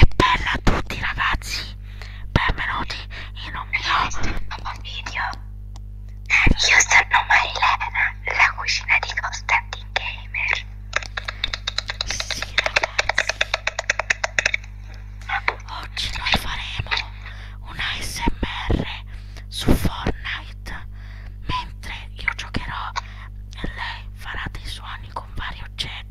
E bella a tutti ragazzi, benvenuti in un mio nuovo video. Io sono Marilena, la cucina di Constantin Gamer. Sì ragazzi, oggi noi faremo un ASMR su Fortnite, mentre io giocherò e lei farà dei suoni con vari oggetti.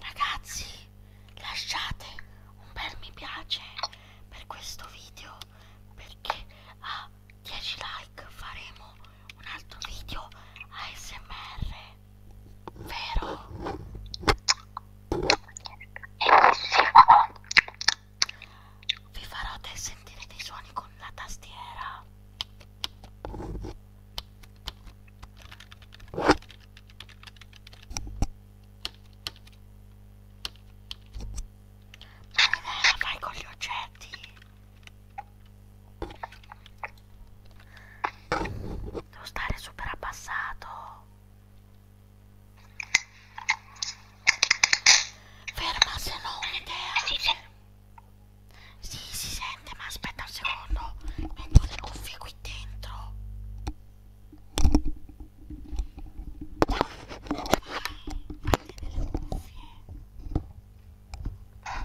Ragazzi, lasciate un bel mi piace per questo video perché a 10 like faremo un altro video ASMR, vero? Vi farò sentire dei suoni con la tastiera fai con gli oggetti devo stare super abbassato ferma se no un'idea sì, si sente, ma aspetta un secondo. Metto le cuffie qui dentro. Vai, fate delle cuffie. Eh,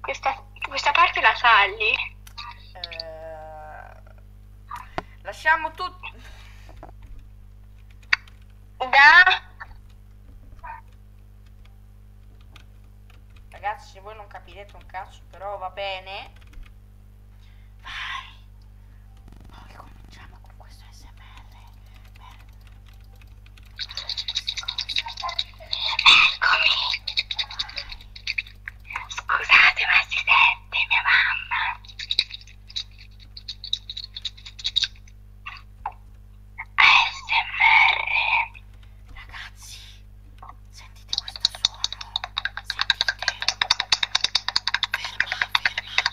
Questa, questa parte la tagli? Eh, lasciamo tutto. Da... Ragazzi, voi non capirete un cazzo, però va bene. Vai. Poi cominciamo con questo SMR. Per... Eccomi. Scusate ma si sente mia mamma. ASMR. Ragazzi, sentite questo suono. Sentite. Ferma, ferma, ferma.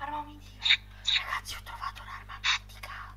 Arma mitica! Ragazzi, ho trovato un'arma mitica!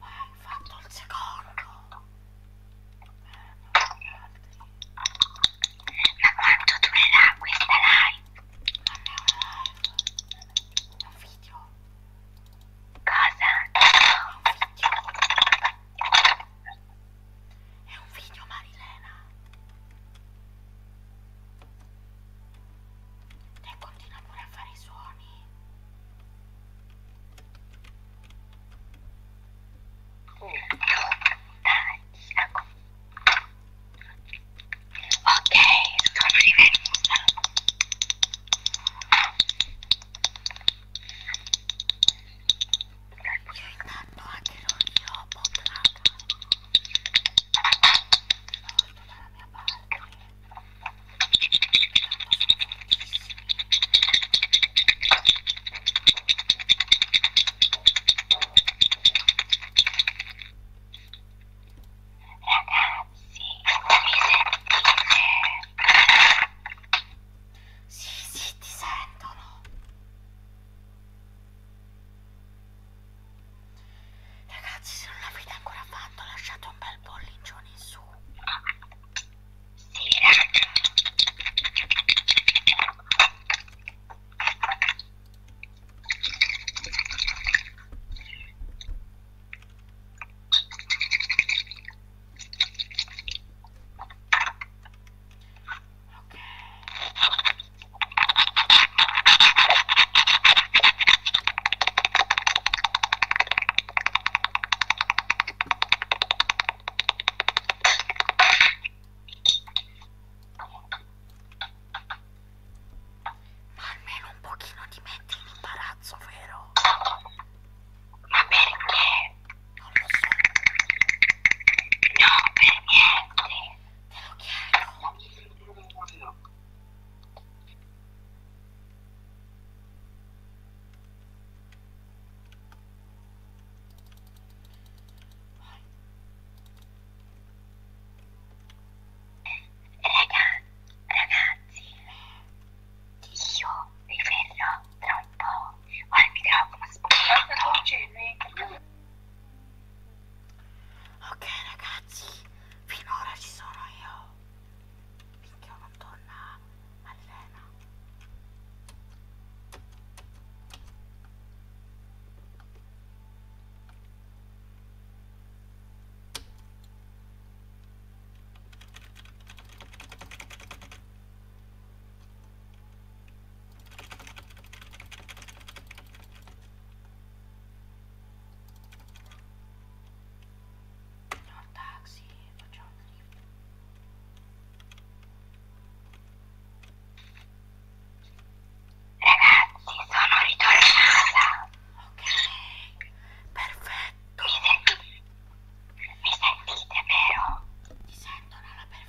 hai fatto il secondo ma quanto durerà questa live? non è una live è un video cosa? è un video è un figlio Marilena. E continua pure a fare i suoni. Oh. Dai, ecco. Ok, scopri venuta. Piegando anche non io ho potrata. Molto dalla mia parte. Ragazzi, mi sentite? Sì, sì, ti sentono. Ragazzi, se non l'avete ancora fatto, lasciate un bel pollicione in su. Sì, raga. Ok. Ma almeno un pochino ti metti in imbarazzo, vero? Ma perché? Non lo so. No, per niente. Te lo chiedo. Raga, ragazzi, io vi verrò tra un po'. Ora mi trovo uno spugnato ok ragazzi finora ci sono io finché non torna Malena No, taxi, facciamo un drift. Ragazzi, sono ritornata. Ok, perfetto. Mi, senti... Mi sentite, vero? Ti sento, Nala, perfetto.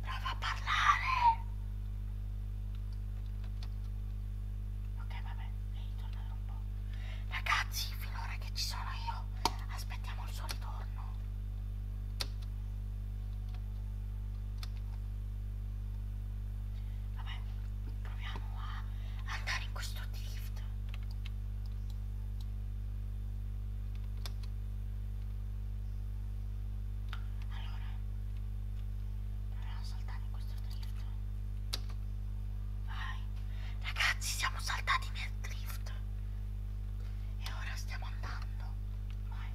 Prova a parlare. Ok, vabbè, devi tornare un po'. Ragazzi, finora che ci sono io, aspettiamo il suo ritorno. Vabbè, proviamo a andare in questo drift allora proviamo a saltare in questo drift vai ragazzi siamo saltati nel drift e ora stiamo andando vai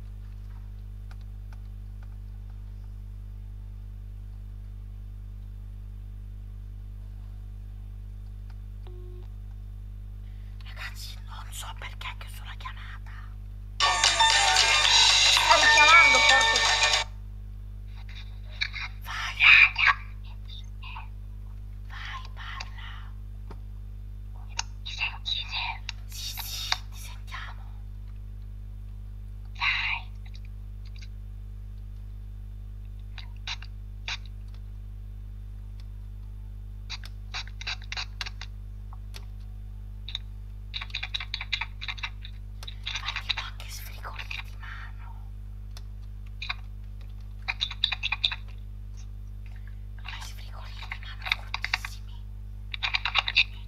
Ragazzi non so perché che sulla chiamata Estão chamando, porco. Vai. Vai parla. Mi sentite? Sì, sì, ti sentiamo. Vai. Hai tipo anche sfrigoli di mano. Hai sfrigoli di mano fortissimi. Io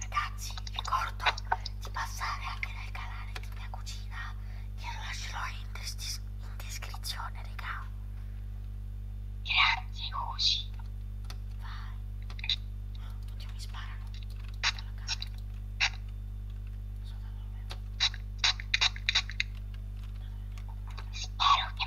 Ragazzi, vi ricordo di passare anche nel canale di mia cucina, che lo lascerò in, des in descrizione, raga. Grazie, Cosi. Vai. Oddio, mi sparano. Dalla camera. Non so da dove. Spero che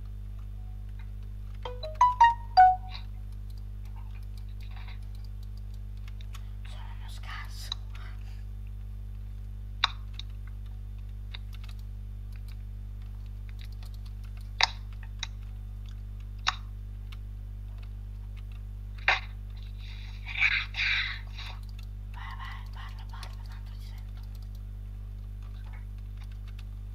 Sono uno scarso. Raga. Vai, vai, parla, parla, tanto ti sento.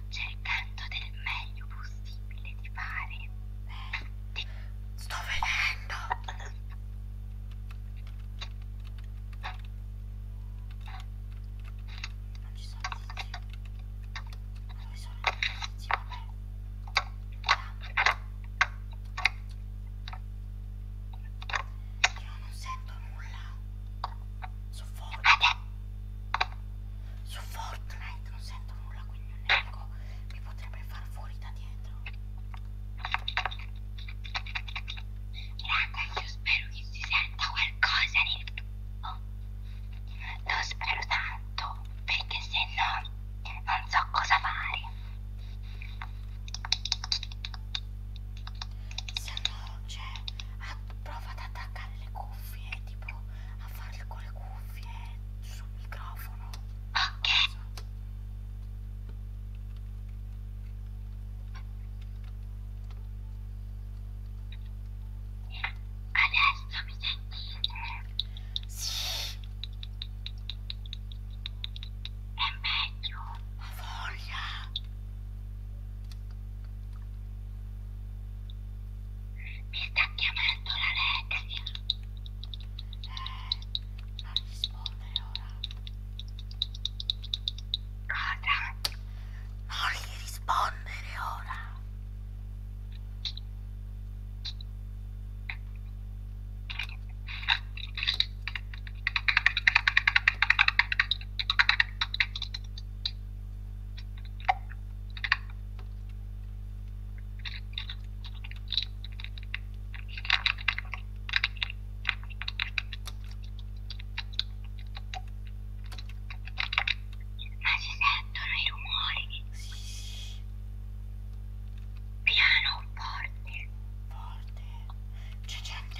sto cercando del meglio possibile di fare. Ti... Sto vedendo. Non ci sono dispositivi. Dove sono i dispositivi? Vabbè. Vediamo. Io non sento nulla. Sono fuori. Vabbè. Su Fortnite non sento nulla, quindi un eco mi potrebbe far fuori da dietro. Raga, io spero che si senta qualcosa nel tubo. Lo spero tanto, perché se no non so cosa fare. Se no c'è cioè, a, ah, prova ad attaccare le cuffie, eh, tipo a farle con le cuffie eh, sul microfono. Ok. Adesso mi sentite? Sì. È meglio. Ho voglia. Mi sta chiamando l'Alexia. Eh, non rispondere ora. Cosa? Non gli rispondere ora. Ma si sentono i rumori? Sì. Piano, forte. Forte. C'è gente.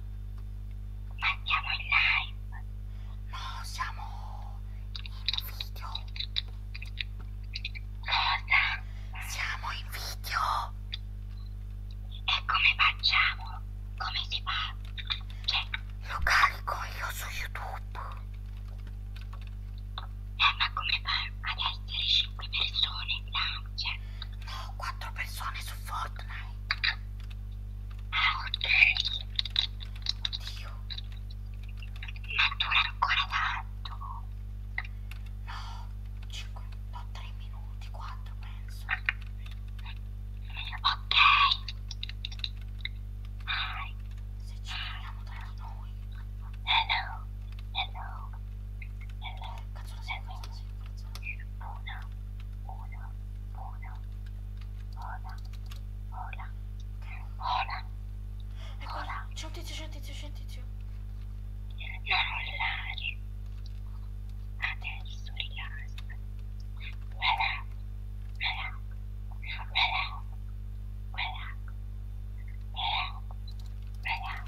Ma andiamo in live? No, siamo in video. Cosa? Siamo in video. E come facciamo? Come si fa? Cioè, lo carico io su YouTube. Eh, ma come fa ad essere 5 persone in cioè, l'ansia? No, quattro persone su Fortnite. Ah, ok. Oddio. Ma dura ancora tanto. No, 5, no, 3 minuti, 4 penso. Ok. Hi. Se ci vediamo tra di noi. Hello. Hello nella canzone seguente una, una, una, hola, hola, hola, hola. C'è un tizio, c'è un tizio, c'è un tizio. Non urlare. Adesso rilassati. Relax, relax, relax, relax, relax, relax.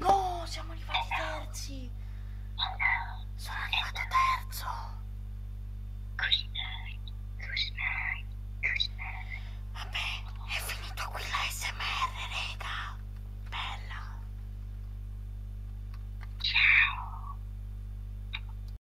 No, siamo arrivati terzi. Sono arrivato terzo. Vabbè, è finito qui la SMR, rega. Bella. Ciao.